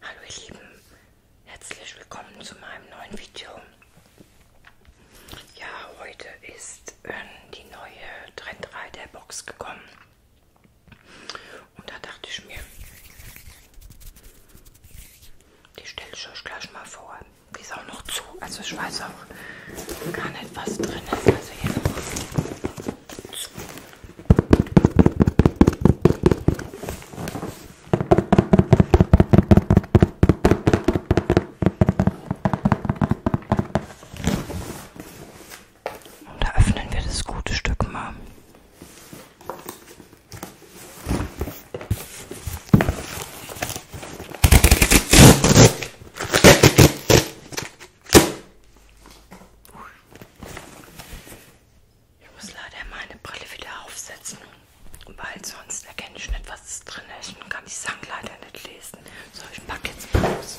Hallo ihr Lieben, herzlich willkommen zu meinem neuen Video. Ja, heute ist äh, die neue Trend 3 der Box gekommen. Und da dachte ich mir, die stelle ich euch gleich mal vor. Die ist auch noch zu, also ich weiß auch gar nicht, was drin ist. Also hier noch zu. Und da öffnen wir das gute Stück mal. Ich muss leider meine Brille wieder aufsetzen, weil sonst erkenne ich nicht, was drin ist und kann die Sachen leider nicht lesen. So, ich packe jetzt mal aus.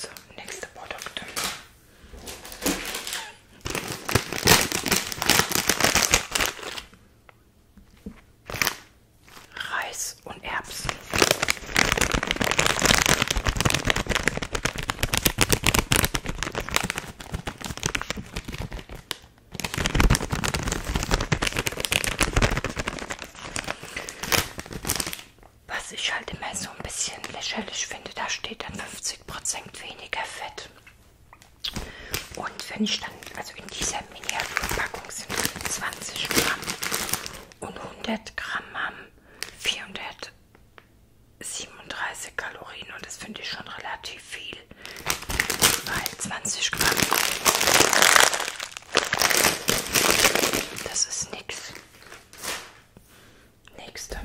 So, nächste Produkte. Reis und Erbsen. Was ich halt immer so ein bisschen lächerlich finde, da steht dann 50% weniger Fett. Und wenn ich dann, also in dieser Miniaturpackung sind 20 Gramm und 100 Gramm haben 400 37 Kalorien und das finde ich schon relativ viel, weil 20 Gramm, das ist nichts. Nächste.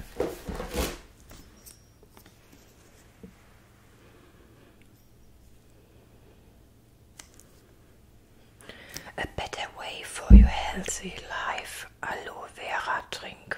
A better way for your healthy life. Aloe Vera Drink.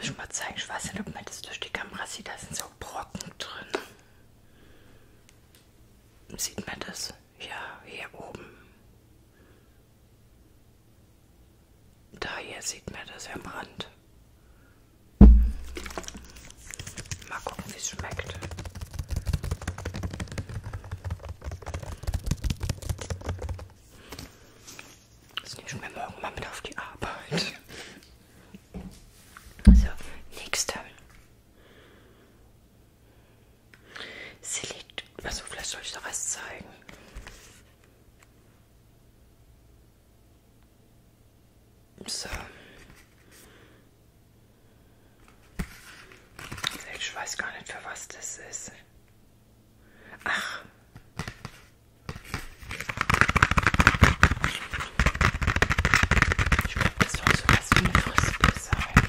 Ich muss ich mal zeigen, ich weiß nicht, ob man das durch die Kamera sieht, da sind so Brocken drin. Sieht man das? Ja, hier oben. Daher sieht man das am Rand. Mal gucken, wie es schmeckt. Das nehmen wir morgen mal mit auf die Arbeit. So, nächster. Sie liegt. Also, vielleicht soll ich doch was zeigen. So. Ich weiß gar nicht, für was das ist. Ach. Ich glaube, das soll so was wie eine Frisbee sein.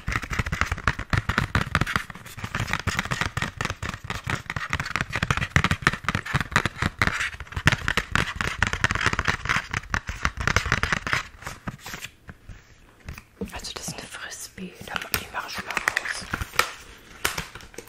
Also das ist eine Frisbee, die mache ich schon mal raus.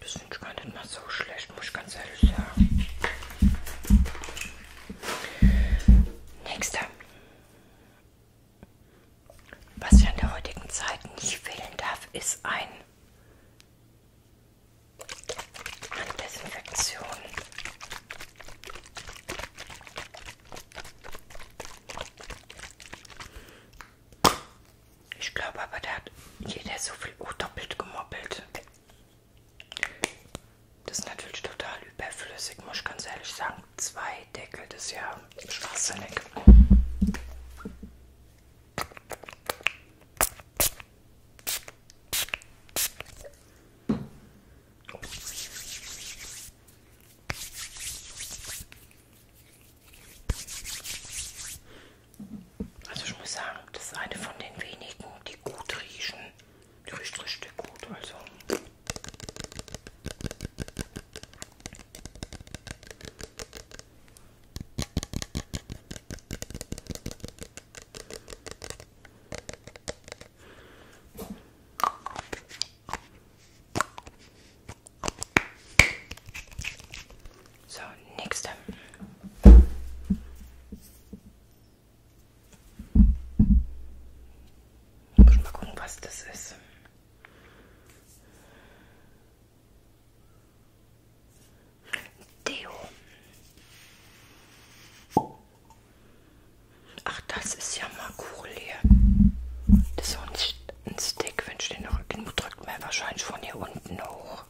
Das finde ich gar nicht mal so schlecht, muss ich ganz ehrlich sagen. Nächster. Was ja in der heutigen Zeit nicht fehlen darf, ist ein eine Desinfektion. Ich glaube aber, da hat jeder so viel oh, doppelt gemoppelt. Das ist natürlich total überflüssig, muss ich ganz ehrlich sagen. Zwei Deckel, das ist ja schwachsinnig. Also ich muss sagen, das ist eine von den wenigen, die gut riechen. Die riecht richtig gut, also. So, nächste. Ich muss mal gucken, was das ist. Deo. Ach, das ist ja mal cool hier. Das ist so ein, ein Stick, wenn ich den drücke, drückt man wahrscheinlich von hier unten hoch.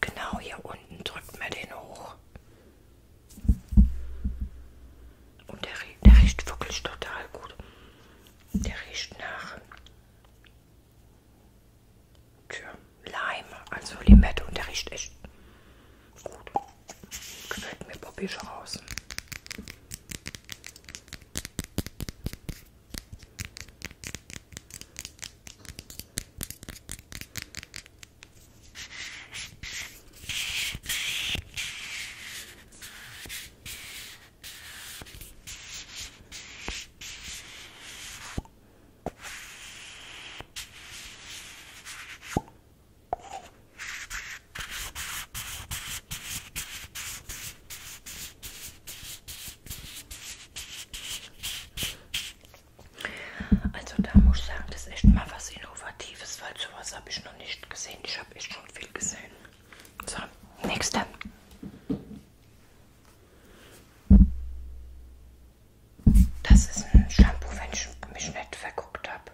Genau hier unten drückt man den hoch. Und der, der riecht wirklich total gut. Der riecht nach Tja, Lime, also Limette und der riecht echt gut. Gefällt mir Bobby schon außen. Also da muss ich sagen, das ist echt mal was Innovatives, weil sowas habe ich noch nicht gesehen. Ich habe echt schon viel gesehen. So, nächste. Das ist ein Shampoo, wenn ich mich nicht verguckt habe.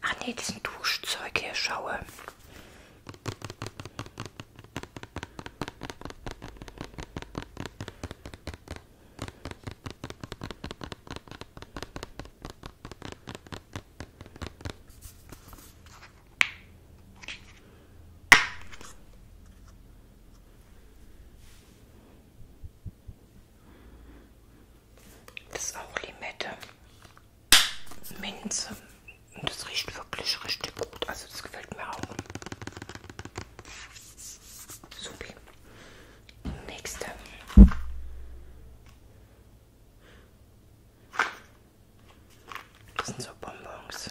Ach nee, diesen Duschzeug hier schaue. Das ist auch Limette, Minze und das riecht wirklich richtig gut. Also das gefällt mir auch. Supi. Nächste. Das sind so Bonbons.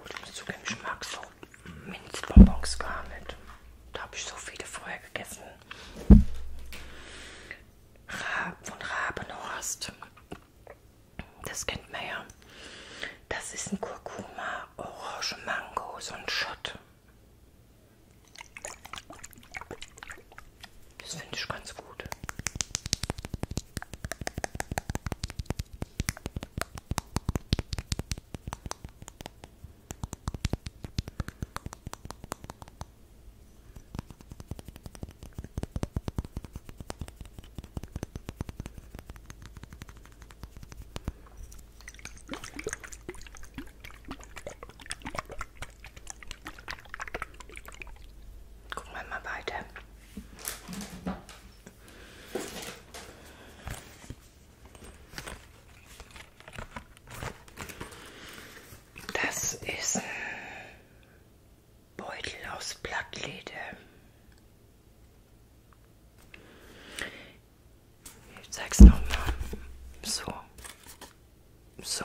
Und ich muss zugeben, ich mag so Minzbonbons gar nicht. Da habe ich so viele vorher gegessen. Rab von Rabenhorst. Das kennt man ja. Das ist ein Kurkuma, Orange, Mango, so ein Schott. Das finde ich ganz gut. Gucken wir mal weiter. Das ist ein Beutel aus Blattleder. Ich zeig's nochmal. So. So.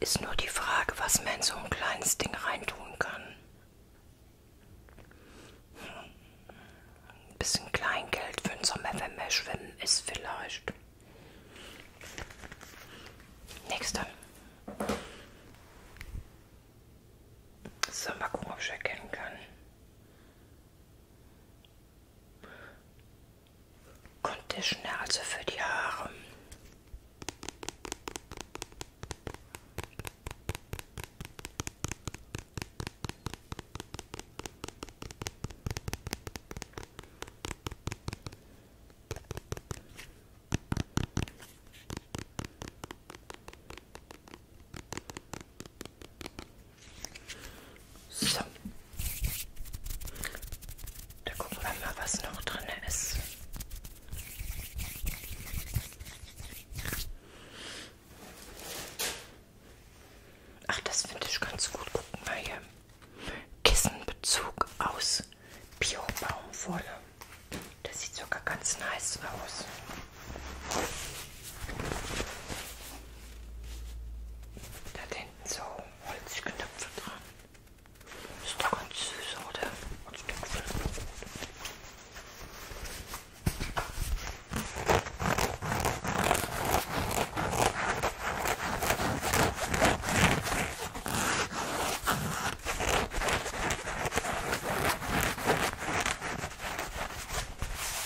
Ist nur die Frage, was man in so ein kleines Ding reintun kann. Hm. Ein bisschen Kleingeld für den Sommer, wenn man schwimmen ist, vielleicht. Nächster. So, mal gucken, ob ich erkennen kann. Conditioner, also für die Haare. So. Da gucken wir mal, was noch drin ist. Ach, das finde ich ganz gut. Gucken wir hier. Kissenbezug aus Bio-Baumwolle. Das sieht sogar ganz nice aus. Da hinten so Holzknöpfe dran. Ist doch ganz süß, oder? Ein Stück Filmbrot.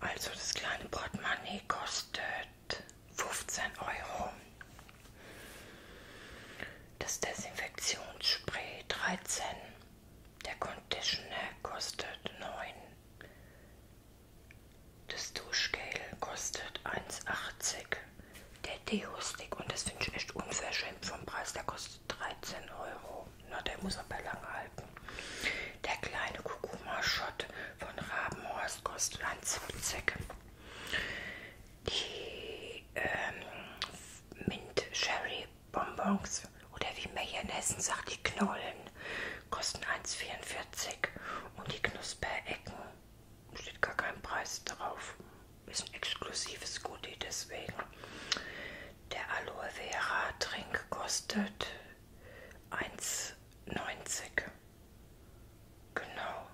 Also das kleine Portemonnaie kostet 15 Euro. Das Desinfektionsspray 13. Der Conditioner kostet 9. Das Duschgel kostet 1,80. Der Deo-Stick, und das finde ich echt unverschämt vom Preis, der kostet 13 Euro. Na, der muss aber lang halten. Der kleine Kurkuma-Shot von Rabenhorst kostet 1,70. Die ähm, Mint-Sherry-Bonbons oder wie man hier in Hessen sagt, die Knollen kosten 1,44 und die Knusperecken steht gar kein Preis drauf. Ist ein exklusives Goodie deswegen. Der Aloe Vera Trink kostet 1,90. Genau.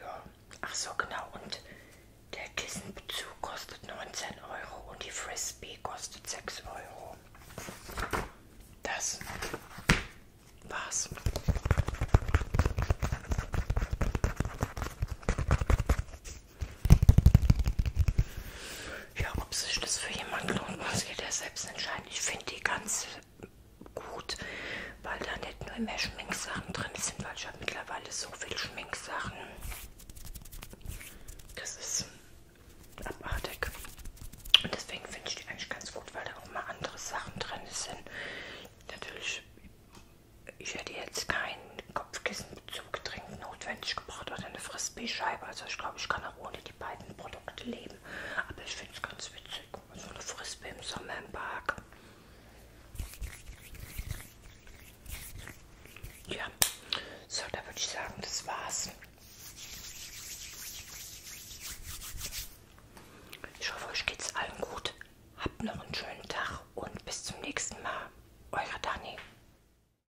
Ja. Ach so, genau. Und der Kissenbezug kostet 19 Euro und die Frisbee kostet 6 Euro. Das war's. Ja, ob sich das für jemanden lohnt, muss jeder selbst entscheiden. Ich finde die ganz gut, weil da nicht nur mehr Schminksachen drin sind, weil ich habe mittlerweile so viele Schminksachen. Das ist abartig. Und deswegen finde ich die eigentlich ganz gut, weil da auch mal andere Sachen drin sind. Natürlich, ich hätte jetzt kein Kopfkissen zu zum Getränk notwendig gebracht oder eine Frisbee-Scheibe. Also ich glaube, ich kann auch ohne die beiden Produkte leben. Aber ich finde es ganz witzig. So eine Frisbee im Sommer im Park. Ja, so, da würde ich sagen, das war's. Ich hoffe, euch geht's allen gut. Habt noch einen schönen Tag und bis zum nächsten Mal. Euer Dani.